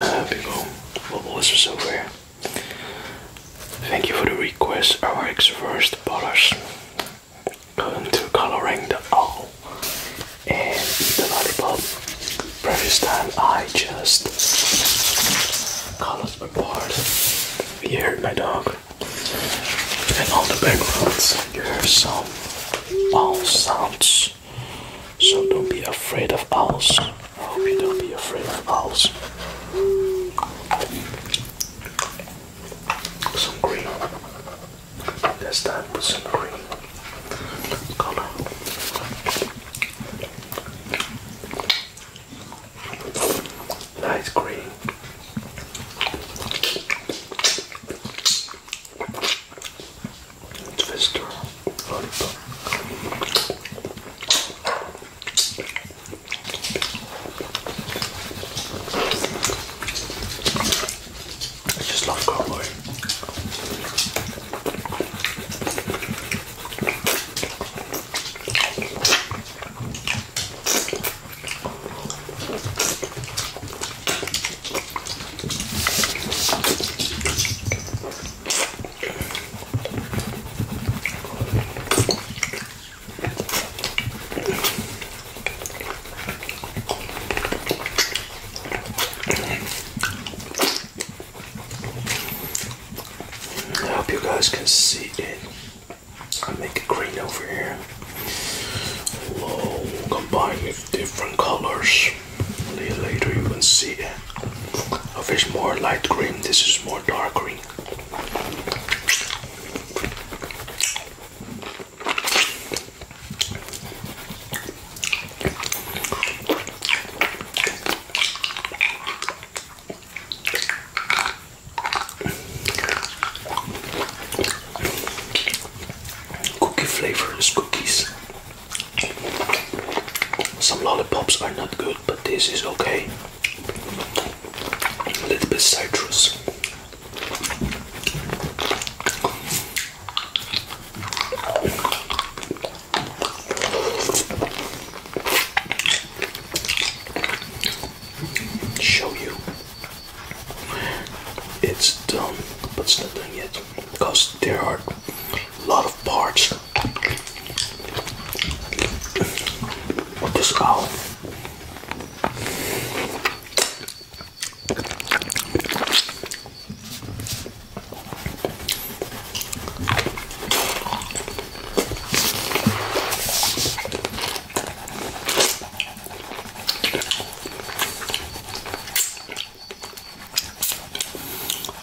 big ol' global lizards over Thank you for the request, RX first dollars. Going to coloring the owl and the lollipop. Previous time I just colored my part. You heard my dog. And all the backgrounds, you hear some owl sounds. So don't be afraid of owls. I hope you don't be afraid of owls. some green. That's that. Put some green color. Nice green. Twister lollipop. I just love cowboy. I hope you guys can see it. I make it green over here. Whoa, combined with different colors later you can see a fish more light green this is more dark green Cookie flavor cookies. Some lollipops are not good, but this is okay. A little bit citrus. Show you it's done, but it's not done yet because there are a lot of parts What is this owl.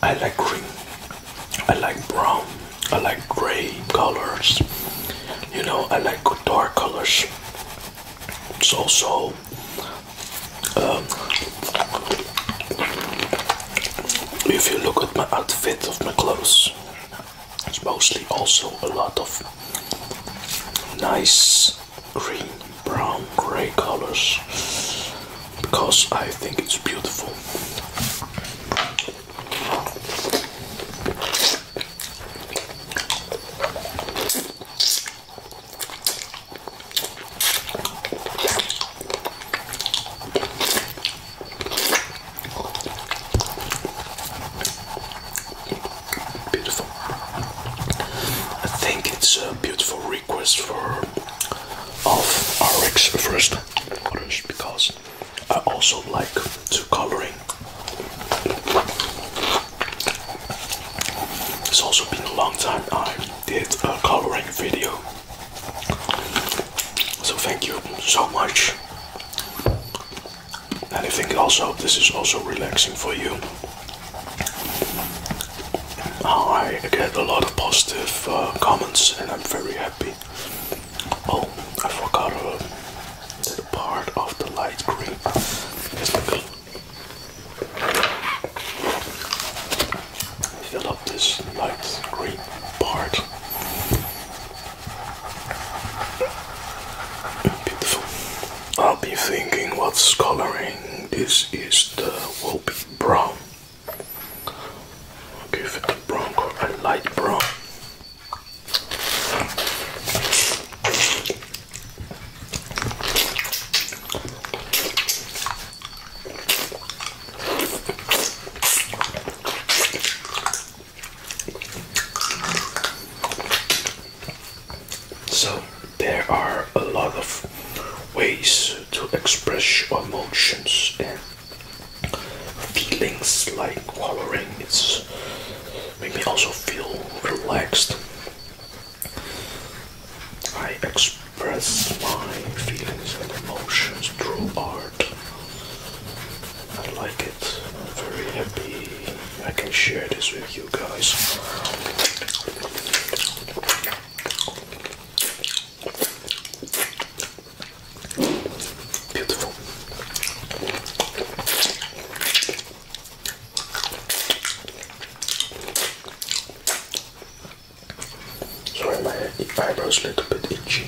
I like green, I like brown, I like gray colors, you know, I like dark colors. It's also um, if you look at my outfit of my clothes, it's mostly also a lot of nice green, brown, grey colors because I think it's beautiful. Beautiful. I think it's a beautiful request for of RX first because I also like to coloring. It's also been a long time I did a coloring video. So thank you so much. And I think also this is also relaxing for you. I get a lot of positive uh, comments, and I'm very happy. Oh, I forgot a part of the light green. Fill up this light green part. Beautiful. I'll be thinking what's coloring. This is the will be brown. I'll give it a brown or a light brown. So, there are a lot of ways to express your emotions and feelings like coloring. It's make me also feel relaxed. I express my feelings and emotions through art. I like it. I'm very happy I can share this with you guys. Beautiful. Sorry, my eyebrows little bit itchy.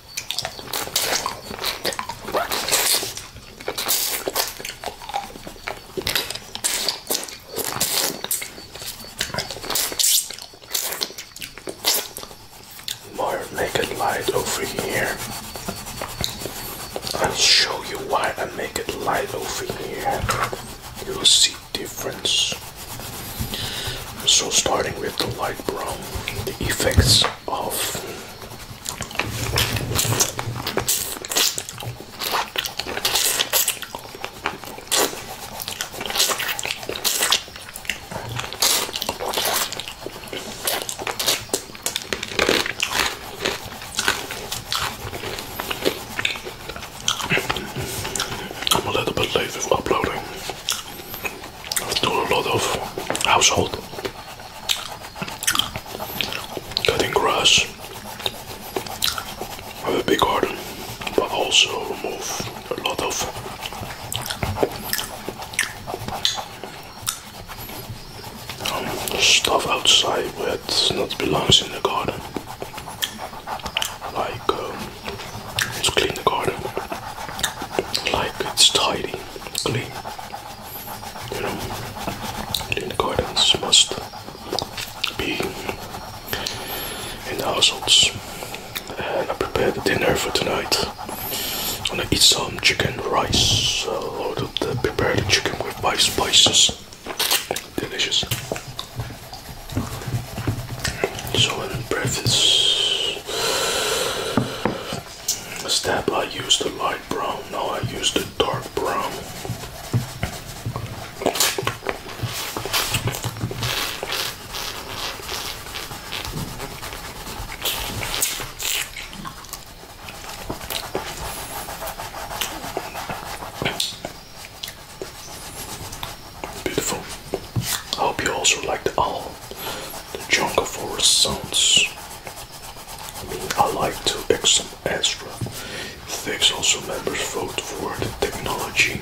More naked light over here. I'll show you why I make it light over here. You'll see difference. So starting with the light brown, the effects of I'm a little bit late with uploading. I do a lot of household cutting grass. have a big garden, but also remove a lot of um, stuff outside that not belongs in the garden. Like um, to clean the garden, like it's tidy clean, you know, clean gardens must be in the households. And I prepared the dinner for tonight. I'm gonna eat some chicken rice. I loaded the prepared chicken with five spices. Delicious. So I'm in breakfast Step, I used a light brown, now I use the dark brown. Beautiful. hope you also like the owl the jungle forest sounds. I mean, I like to ask some extra. Thanks also members vote for the technology team.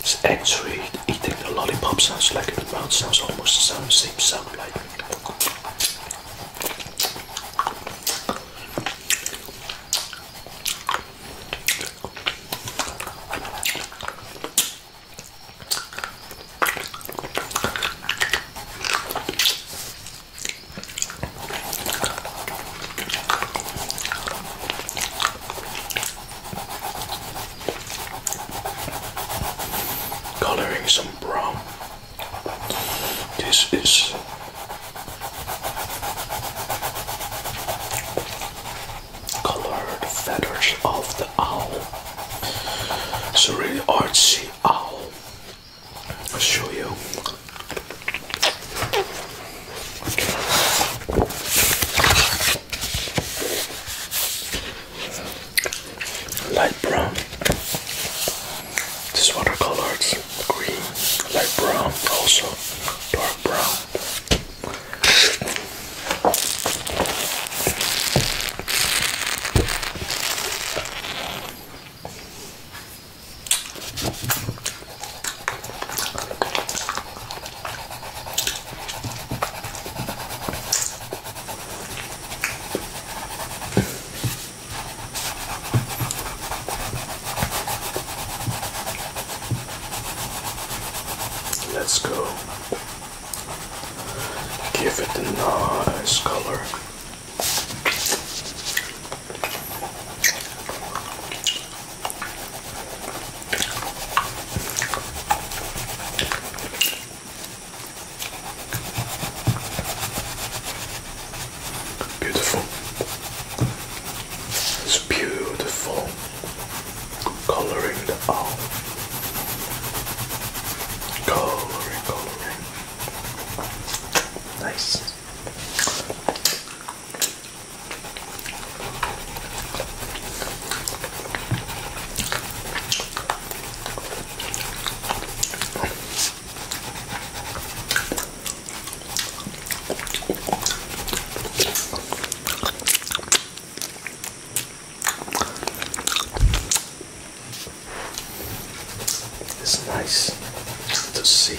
It's actually eating the lollipop sounds like in the mouth sounds almost the sound, same sound like. Colouring some brown. This is colored feathers of the owl. It's a really artsy owl. I'll show you. Light brown. This watercolors green, light brown, also dark brown. Let's go. Give it a nice color. Beautiful. It's beautiful coloring the owl. Coloring, coloring. Nice. It's nice to see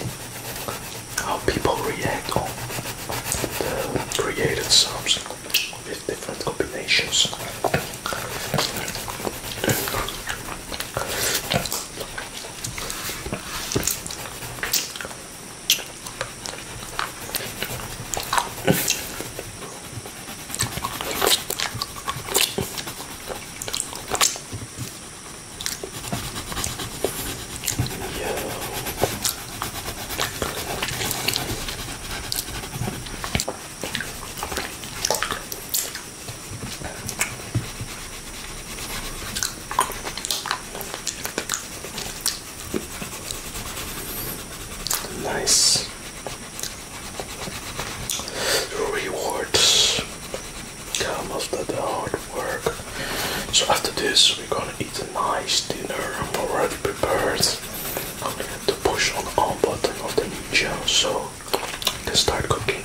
how people react on the created subs with different combinations. Nice rewards Come after the hard work. So after this, we're gonna eat a nice dinner. I'm already prepared. I'm going to push on the on button of the ninja, so I can start cooking.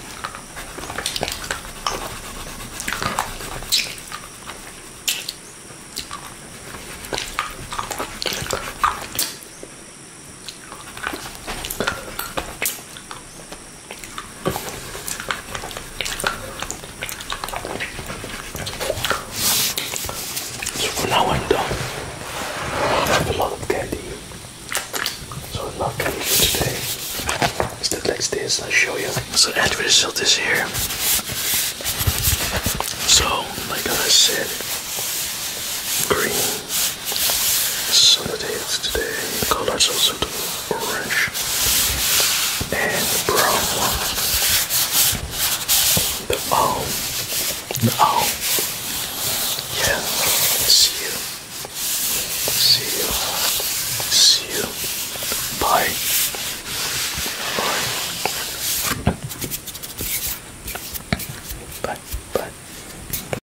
So now I'm done. I have a lot of candy. So I love candy for today. It's the next this. I'll show you. So end result is here. So like I said, green Solidates today, colors also orange and brown The owl, the owl. Yeah, see you, see you, see you. Bye. Bye. Bye. Bye.